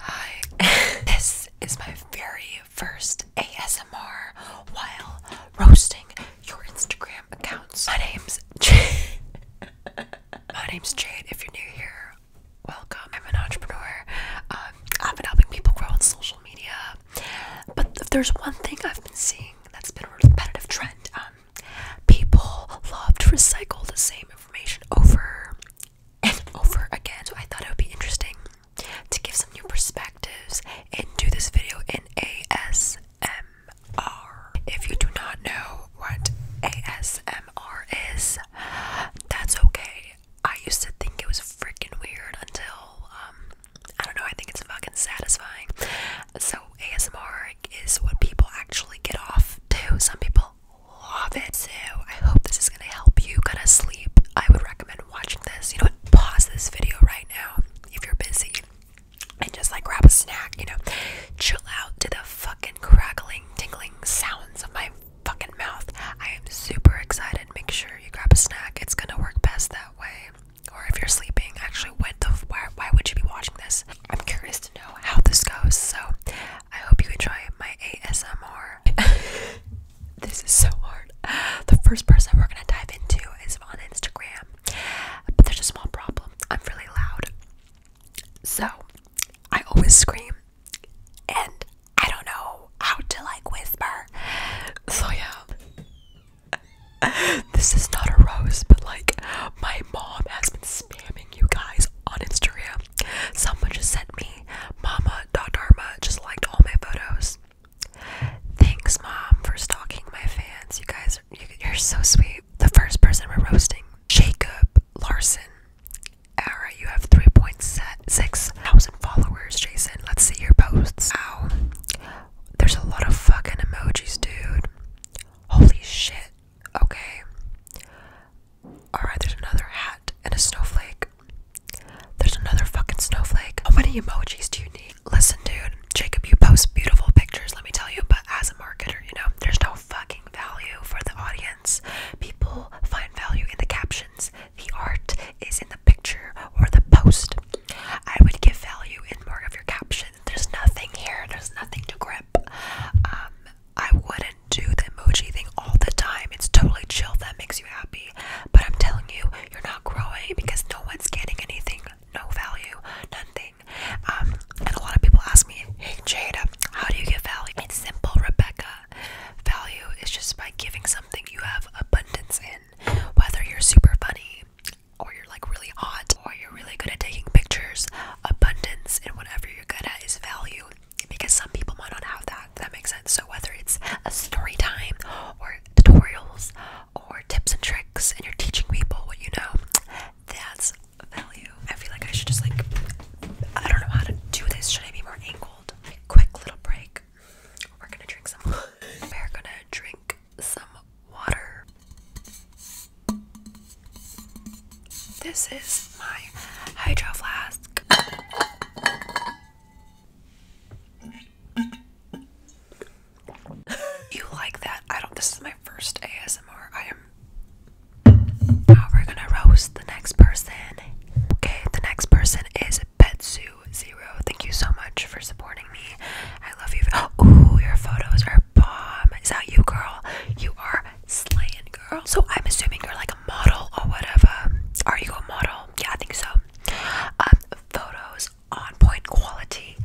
Hi, this is my very first ASMR while roasting your Instagram accounts. My name's Jade. my name's Jade. If you're new here, welcome. I'm an entrepreneur. Um, I've been helping people grow on social media. But if there's one thing I've been seeing that's been a repetitive trend, um, people love to recycle the same information over and over again. So I thought it would be interesting to give some new perspectives and do this video in ASMR. If you do not know what ASMR is, that's okay. I used to think it was freaking weird until um, I don't know, I think it's fucking satisfying. So ASMR is what people actually get off to. Some people love it too. I hope this is gonna help you go to sleep. I would recommend watching this. You know Pause this video right now if you're busy and just like grab a snack, you know. Chill out to the fucking crackling, tingling sounds of my fucking mouth. I am super excited. Make sure you grab a snack. It's gonna work best that way. Or if you're sleeping, actually, why would you be watching this? I'm curious to know how this goes, so I hope you enjoy my ASMR. this is so hard. The first person we're gonna dive into is on Instagram, but there's a small problem. I'm really loud, so I always scream, and I don't know how to like whisper. So yeah, this is not a rose, but like my mom has been spamming you guys on Instagram. Someone just sent me Mama mama.dharma just liked all my photos. Thanks, mom, for stalking my fans. You guys, you, are so sweet. The first person we're roasting, Jacob Larson. Alright, you have 3.6 thousand followers, Jason. Let's see your posts. Ow. There's a lot of fucking emojis, dude. Holy shit. Okay. Alright, there's another hat and a snowflake. There's another fucking snowflake. How oh, many emojis do you need? Listen, dude, Jacob, you post beautiful pictures, let me tell you, but as a marketer, you know, there's no fucking value for the audience. People find value in the captions. The art is in the picture or the post. I would give value in more of your caption. There's nothing here, there's nothing to grab um, I wouldn't do the emoji thing all the time. It's totally chill that makes you happy. But I'm telling you, you're not growing because no one's getting anything, no value, nothing. Um, and a lot of people ask me, hey Jada, how do you get value? It's simple, Rebecca. Value is just by giving something you have abundance in, whether you're super funny or you're like really hot or you're really good at taking pictures abundance in whatever you're good at is value because some people might not have that. That makes sense. So whether it's a story time or tutorials or tips and tricks and you're teaching people what you know, that's value. I feel like I should just like I don't know how to do this. Should I be more angled? Quick little break. We're gonna drink some. We're gonna drink some water. This is my hydro flask. you like that? I don't. This is my first ASMR. I am. Now we're gonna roast the next person. Okay, the next person is Betsu Zero. Thank you so much for supporting me. I love you. Oh, your photos are bomb. Is that you, girl? You are slaying, girl. So I'm assuming you're like a model or whatever. Are you a model? Yeah, I think so. Um, photos on point quality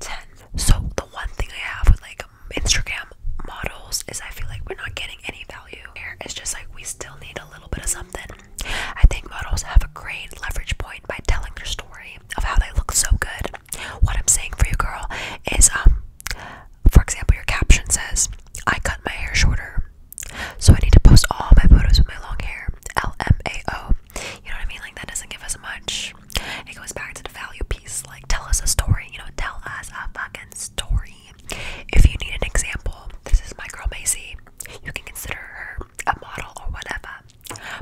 10. So the one thing I have with like Instagram models is I feel like we're not getting any value here. It's just like we still need a little bit of something. I think models have a great leverage point by telling their story of how they look so good what I'm saying for you, girl, is um, for example, your caption says, "I cut my hair shorter," so I need to post all my photos with my long hair. LMAO. You know what I mean? Like that doesn't give us much. It goes back to the value piece. Like tell us a story. You know, tell us a fucking story. If you need an example, this is my girl Macy. You can consider her a model or whatever.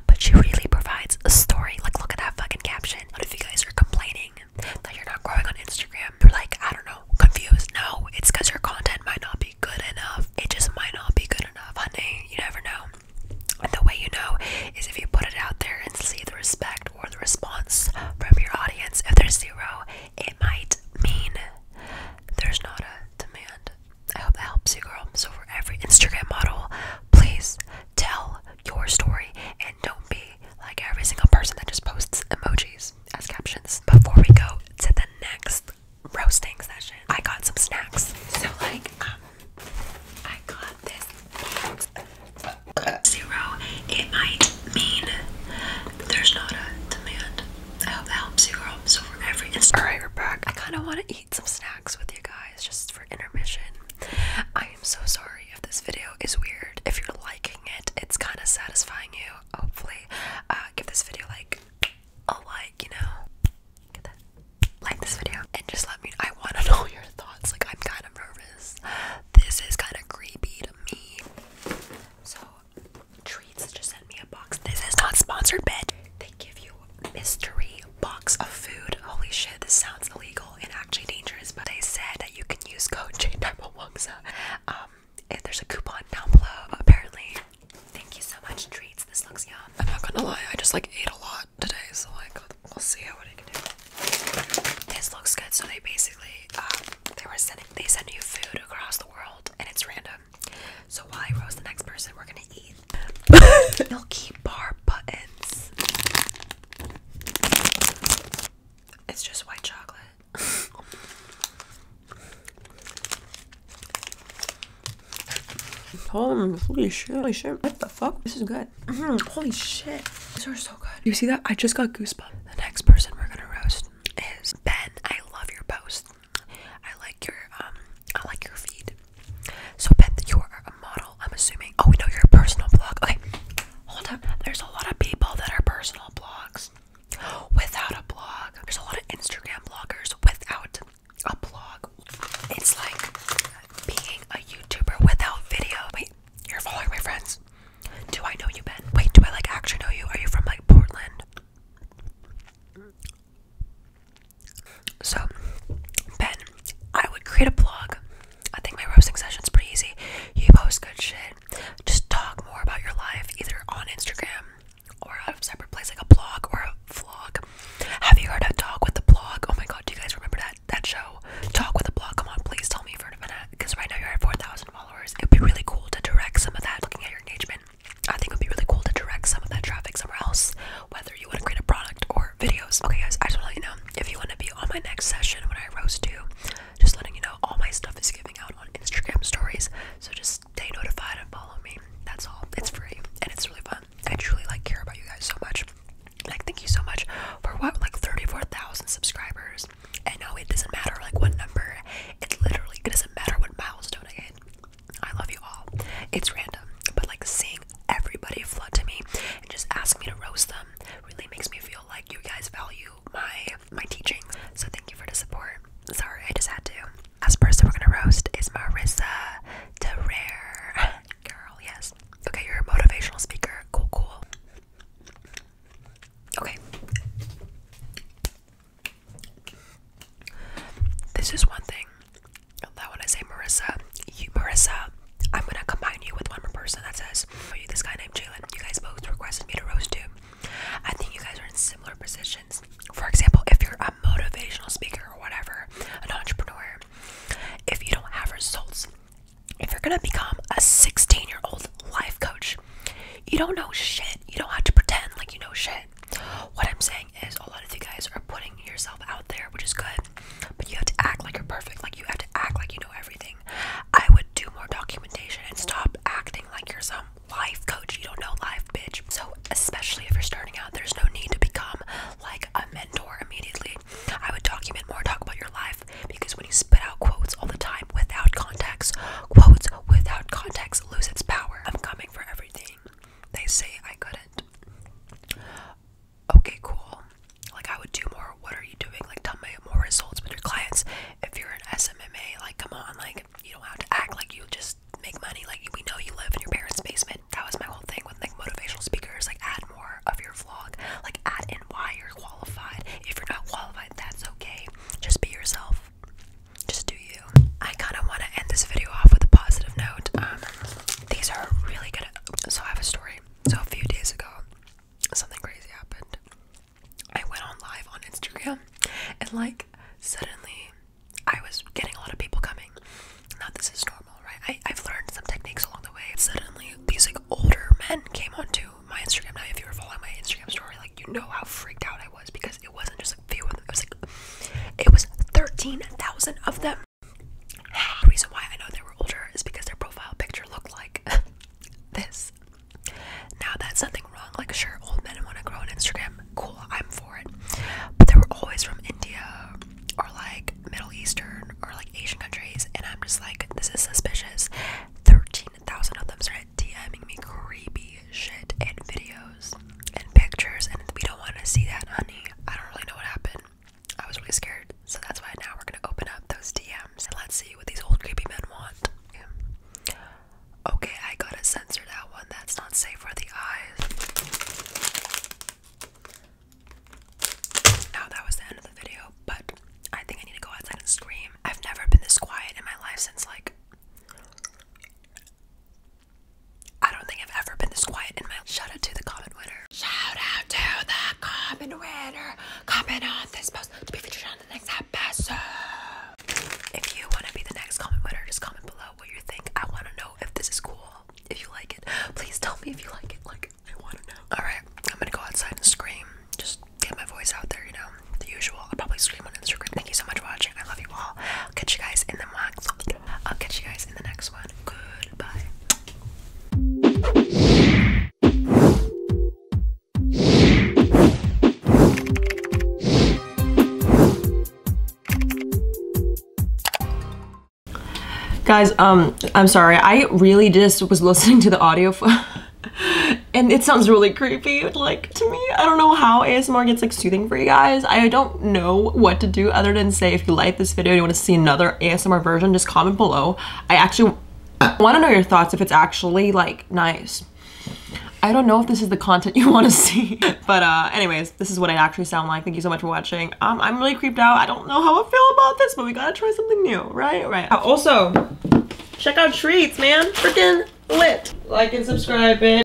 But she really provides a story. Like, look at that fucking caption content. if you guys are complaining that you're not growing on Instagram, you're like, I don't know, confused. No, it's because your content might not be good enough. It just might not be good enough, honey. You never know. And the way you know is if you put it out there and see the respect or the response from your audience. If there's zero, it might mean there's not a demand. I hope that helps you, girl. So, for every Instagram model, please tell your story and don't be like every single person that just posts emojis as captions. Before we go to the next roasting session, I got some snacks. So like, um, I got this zero. It might mean there's not a demand. I hope that helps you, girl. So for every All right, we're back. I kind of want to eat some snacks with you guys just for intermission. I am so sorry if this video is weird. If you're liking it, it's kind of satisfying you. Hopefully, uh, give this video like a like, you know, like this video, and just let me. I want to know your thoughts. Like, I'm kind of nervous. This is kind of creepy to me. So, treats just sent me a box. This is not sponsored, but mystery box of food. Holy shit, this sounds illegal and actually dangerous, but they said that you can use code JDarmawangsa. Um, and there's a coupon down below, apparently. Thank you so much, treats. This looks yum. I'm not gonna lie, I just like ate a lot today, so like we'll see how it I can do. This looks good. So they basically um, they were sending they send you food across the world, and it's random. So why Rose? the next person, we're gonna Milky bar buttons. It's just white chocolate. Holy, holy shit, holy shit. What the fuck? This is good. Mm-hmm, holy shit. These are so good. You see that? I just got goosebumps. The next person we're gonna roast is Ben. I love your post. I like your um I like your feed. So, Beth, you are a model, I'm assuming. Oh, we know you're a personal blog. Okay, hold up. There's a lot of people that are personal blogs without a blog. There's a lot of Instagram bloggers without a blog. It's like being a YouTuber without video. Wait, you're following my friends. Do I know you, Ben? Wait, do I like actually know you? Are you from like Portland? So, Ben, I would create a blog. I think my roasting session's pretty easy. You post good shit. Just talk more about your life, either on Instagram or a separate place like a blog or a vlog. Have you heard of Talk with the Blog? Oh my god, do you guys remember that that show? Talk with the Blog. Come on, please tell me for a minute, because right now you're at 4,000 followers. It'd be really cool to direct some of that. Looking at your engagement, I think it would be really cool to direct some of that traffic somewhere else whether you want to create a product or videos. Okay, guys, I just want to let you know if you want to be on my next session when I roast you, just letting you know all my stuff is giving out on Instagram stories. So just stay notified and follow me. That's all. It's free and it's really fun. I truly like care about you guys so much. Like thank you so much for what like 34,000 subscribers. And no, it doesn't matter like what number. It literally doesn't matter what milestone I hit. I love you all. It's random, but like seeing everybody flood to me and just ask me to roast them really makes me feel like you guys value my my teaching. So thank you for the support. Sorry, I just had to. Last person we're gonna roast is Marissa Terrere. Girl, yes. Okay, you're a motivational speaker. Cool, cool. Okay. This is one thing that when I say Marissa, you Marissa, I'm gonna combine you with one more person that says for you this guy named Jalen. You guys both requested me to roast you. I think you guys are in similar positions. For example, if you're a motivational speaker or whatever, an entrepreneur, if you don't have results, if you're gonna become a 16 year old life coach, you don't know shit. You don't have to pretend like you know shit. What I'm saying is a lot of you guys are putting yourself out there, which is good, but you have to act like you're perfect. Like you have to act like you know everything. I would do more documentation and stop acting like you're some life coach. You don't know life, bitch. So especially if you're starting out, there's no need to become like a mentor immediately. I would document more, talk about your life because when you spit out quotes all the time without context, quotes without context lose its power. I'm coming for everything. They say I couldn't okay, cool. Like I would do more. What are you doing? Like tell me more results with your clients. If you're an SMMA, like come on, like you don't have to act like you just make money. Like we know you live in your parents' basement. That was my whole thing with like motivational speakers. Like add more of your vlog. Like add and why you're qualified. If you're not qualified, that's okay. Just be yourself. Just do you. I kind of want to end this video off with a positive note. Um, these are really good. So I have a story. So a few days ago, something crazy happened. I went on live on Instagram, and like suddenly, I was getting a lot of people coming. Now this is normal, right? I, I've learned some techniques along the way. Suddenly, these like older men came onto my Instagram. Now, if you were following my Instagram story, like you know how freaked out I was because it wasn't just it was it was thirteen thousand of them. The reason why I know they were older is because their profile picture looked like this. Now that's nothing wrong. Like sure, old men want to grow on Instagram. Cool, I'm for it. But they were always from India or like Middle Eastern or like Asian countries, and I'm just like, this is suspicious. Thirteen thousand of them started DMing me creepy shit and videos and pictures, and we don't want to see that, honey. I don't really know what happened. I was really scared, so that's why now we're gonna open up those DMs and let's see what these old creepy men want. Okay, I gotta censor that one. That's not safe for the eyes. Now that was the end of the video, but I think I need to go outside and scream. I've never been this quiet in my life since like I don't think I've ever been this quiet in my shout out to the common winner. Shout out to the common winner. Comment on this post to be featured on the next episode. If you want to be the next common winner, just comment below what you think. I want to know if this is cool. If you like it, please tell me if you like it. Like I want to know. All right, I'm gonna go outside and scream. Just get my voice out there, you know, the usual. I'll probably scream on Instagram. Thank you so much for watching. I love you all. I'll catch you guys in the next I'll catch you guys in the next one. Goodbye. Guys, um, I'm sorry. I really just was listening to the audio for and it sounds really creepy. Like to me. I don't know how ASMR gets like soothing for you guys. I don't know what to do other than say if you like this video you want to see another ASMR version, just comment below. I actually want to know your thoughts if it's actually like nice. I don't know if this is the content you want to see. But uh, anyways, this is what I actually sound like. Thank you so much for watching. Um, I'm really creeped out. I don't know how I feel about this, but we gotta try something new, right? Right. Also, check out Treats, man. Freaking lit. Like and subscribe, bitch.